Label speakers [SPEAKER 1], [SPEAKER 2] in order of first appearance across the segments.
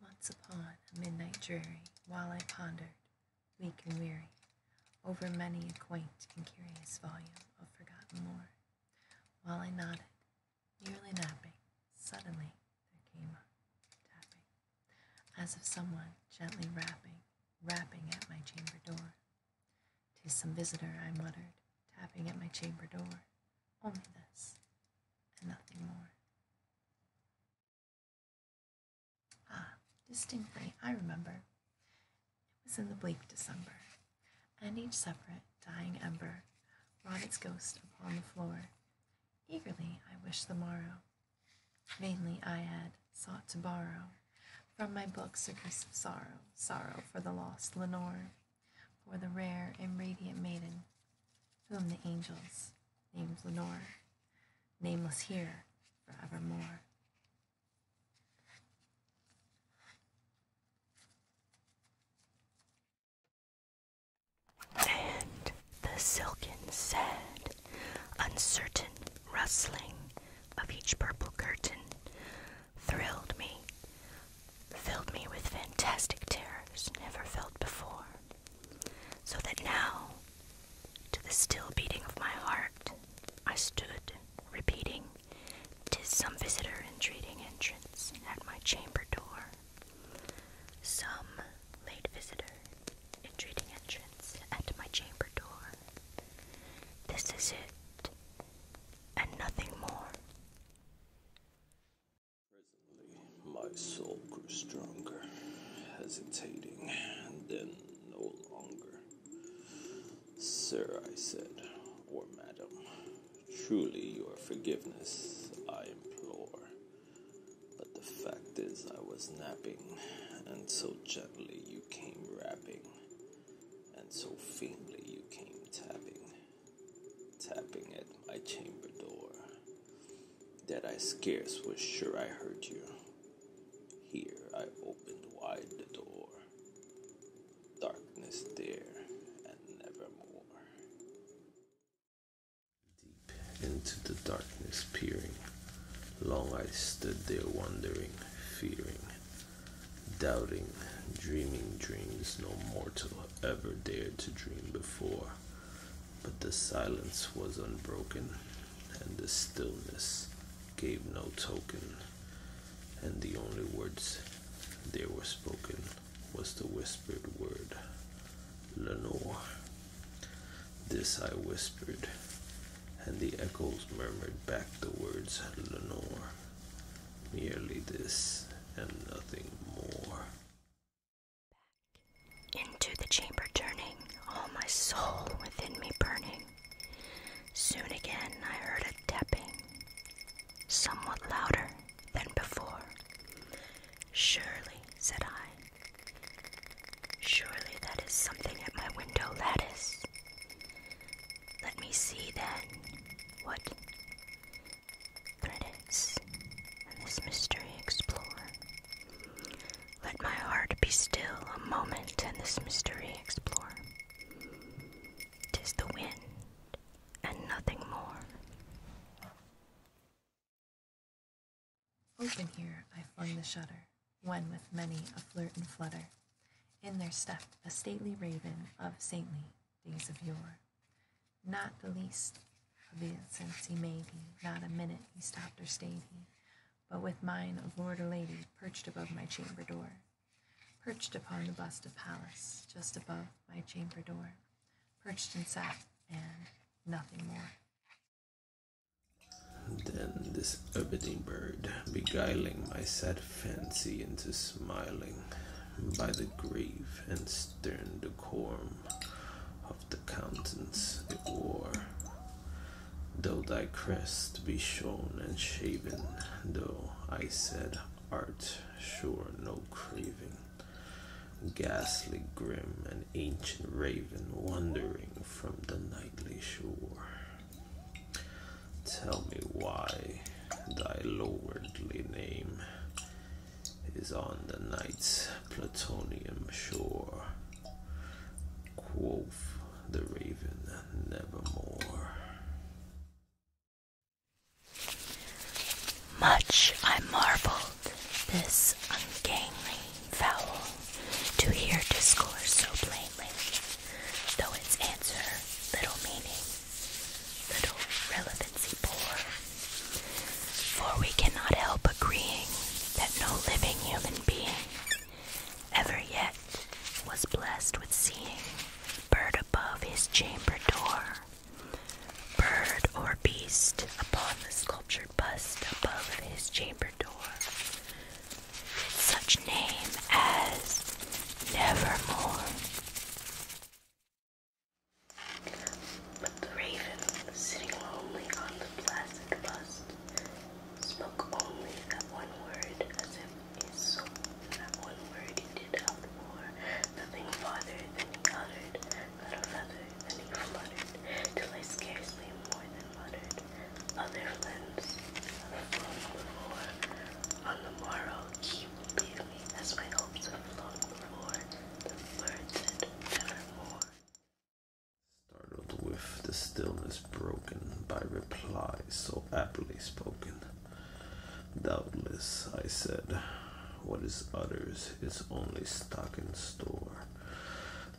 [SPEAKER 1] Once upon a midnight dreary, while I
[SPEAKER 2] pondered, weak and weary, over many a quaint and curious volume of forgotten lore, while I nodded, nearly napping, suddenly there came a tapping, as of someone gently rapping, rapping at my chamber door. "'Tis some visitor," I muttered, tapping at my chamber door. "Only this, and nothing more." Ah, distinctly, I remember. It was in the bleak December, and each separate, dying ember wrought its ghost upon the floor. Eagerly I wished the morrow. Vainly I had sought to borrow from my books a piece of sorrow, sorrow for the lost Lenore, for the rare and radiant maiden whom the angels named Lenore, nameless here forevermore.
[SPEAKER 3] And the silken sand uncertain rustling of each purple curtain thrilled me, filled me with fantastic terrors never felt before, so that now, to the still beating of my heart, I stood repeating, "'Tis some visitor entreating entrance at my chamber door, some late visitor entreating entrance at my chamber door. This is it,
[SPEAKER 1] and nothing more. Presently, my soul grew stronger, hesitating, and then no longer. Sir, I said, or madam, truly your forgiveness I implore. But the fact is, I was napping, and so gently you came rapping, and so faintly you came tapping, tapping at my chamber door, that I scarce was sure I heard you. Here I opened wide the door, darkness there, and never more. Deep into the darkness peering, long I stood there wondering, fearing, doubting, dreaming dreams no mortal ever dared to dream before. But the silence was unbroken, and the stillness gave no token, and the only words there were spoken was the whispered word Lenore. This I whispered, and the echoes murmured back the words Lenore. Merely this and nothing more. Back into the chamber
[SPEAKER 3] turning, all my soul within me burning. Soon again I heard a tapping, somewhat louder than before. Surely, said I, Surely that is something at my window lattice. Let me see then what threads this mystery explore. Let my heart be still a moment and this mystery explore. Tis the wind and nothing
[SPEAKER 2] more. Open here I flung the shutter, when with many a flirt and flutter, in there stepped a stately raven of saintly days of yore. Not the least of incense he made he, not a minute he stopped or stayed he, but with mine of lord or lady perched above my chamber door. Perched upon the bust of Pallas, just above my chamber door, perched and sat, and nothing more.
[SPEAKER 1] Then this abiding bird, beguiling my sad fancy into smiling by the grave and stern decorum of the countenance it wore. Though thy crest be shorn and shaven, though I said art, sure no craving ghastly grim, and ancient raven wandering from the nightly shore. Tell me why thy lordly name is on the night's plutonium shore. Quoth the raven, nevermore.
[SPEAKER 3] Much I marveled this ungainly fowl to hear discourse so plainly, though its answer little meaning, little relevancy poor. For we cannot help agreeing that no living human being ever yet was blessed with seeing bird above his chamber door bird or beast upon the sculptured bust above his chamber door. Such name as Nevermore. But the raven, sitting lonely on the placid
[SPEAKER 2] bust, spoke only that one word, as if his soul, that one word he did outpour, nothing farther than he
[SPEAKER 3] uttered, little he fluttered, till I scarcely more than muttered. Other limbs On the morrow he will leave me, as my hopes have flown before.
[SPEAKER 1] Startled with the stillness broken by replies so aptly spoken. Doubtless, I said, what is others is only stock in store,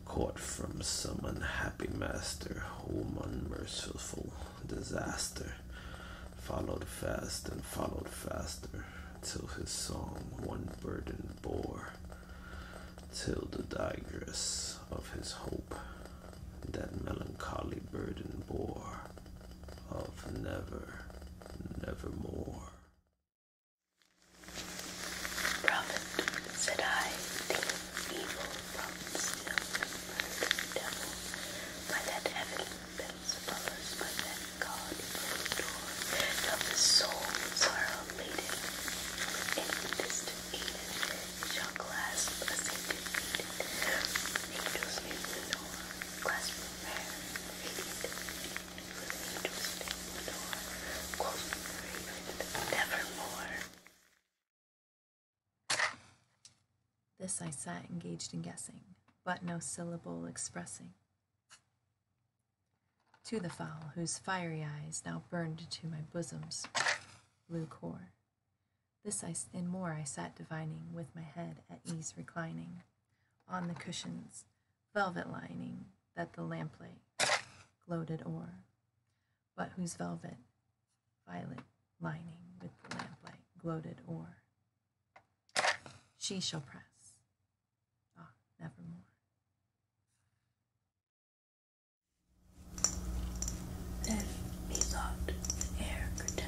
[SPEAKER 1] caught from some unhappy master, whom unmerciful disaster followed fast and followed faster, till his song one burden bore, till the digress of his hope that melancholy burden bore of never, nevermore.
[SPEAKER 3] Prophet, said I, evil prompts the devil by that heaven follows by that God door of the souls are elated in distant Eden shall clasp a sainted Eden. Angels in the door clasp
[SPEAKER 2] this I sat engaged in guessing, but no syllable expressing. To the fowl, whose fiery eyes now burned to my bosom's blue core. This I, and more I sat divining, with my head at ease reclining on the cushion's velvet lining that the lamplight gloated o'er, but whose velvet violet lining with the lamplight gloated o'er. She shall press, ah, nevermore.
[SPEAKER 3] Then methought the air could tell,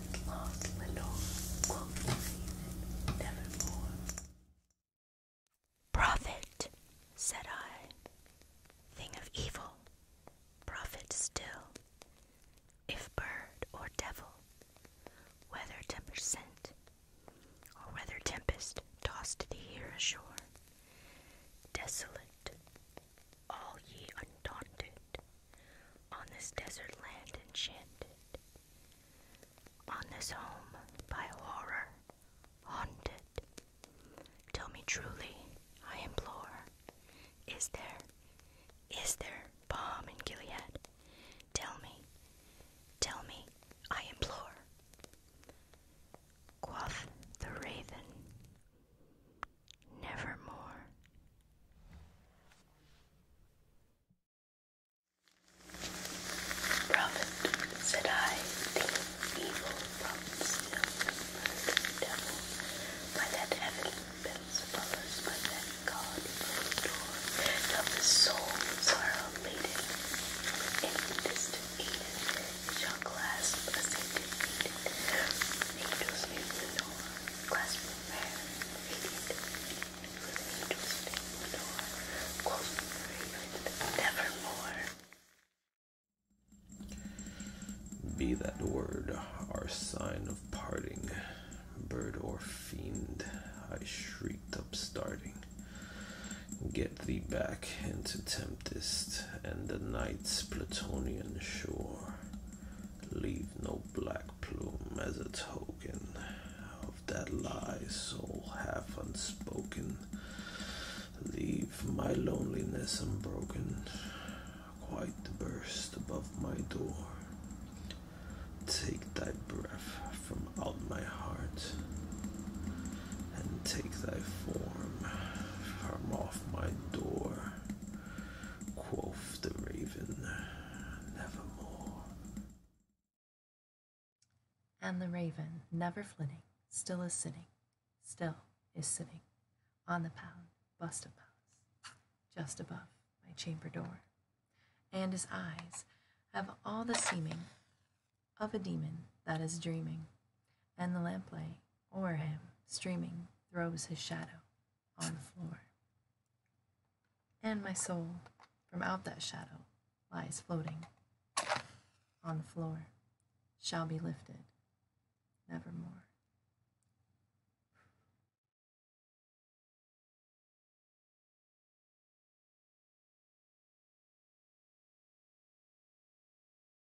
[SPEAKER 3] lost little quoth nevermore. Prophet, said I, thing of evil, prophet still, if bird or devil, whether temper sent, or whether tempest tossed thee here ashore, desolate, all ye undaunted, on this desert land enchanted, on this home by horror haunted. Tell me truly, I implore, is there, is there balm in Gilead? Tell me, tell me, I implore. Quoth the raven, nevermore. Prophet, said I, the evil prophets know the devil by that heaven by that God door of the souls in distant Eden shall clasp a angels in the
[SPEAKER 1] be that word our sign of parting, bird or fiend, I shrieked up starting. Get thee back into tempest and the night's Plutonian shore. Leave no black plume as a token of that lie, soul half unspoken. Leave my loneliness unbroken, quite the burst above my door. Take thy breath from out my heart, and take thy form from off my door. Quoth the raven, nevermore.
[SPEAKER 2] And the raven, never flitting, still is sitting, still is sitting, on the pound, bust of palace, just above my chamber door. And his eyes have all the seeming of a demon that is dreaming, and the lamplight O'er him, streaming, throws his shadow on the floor. And my soul, from out that shadow, lies floating on the floor, shall be lifted nevermore.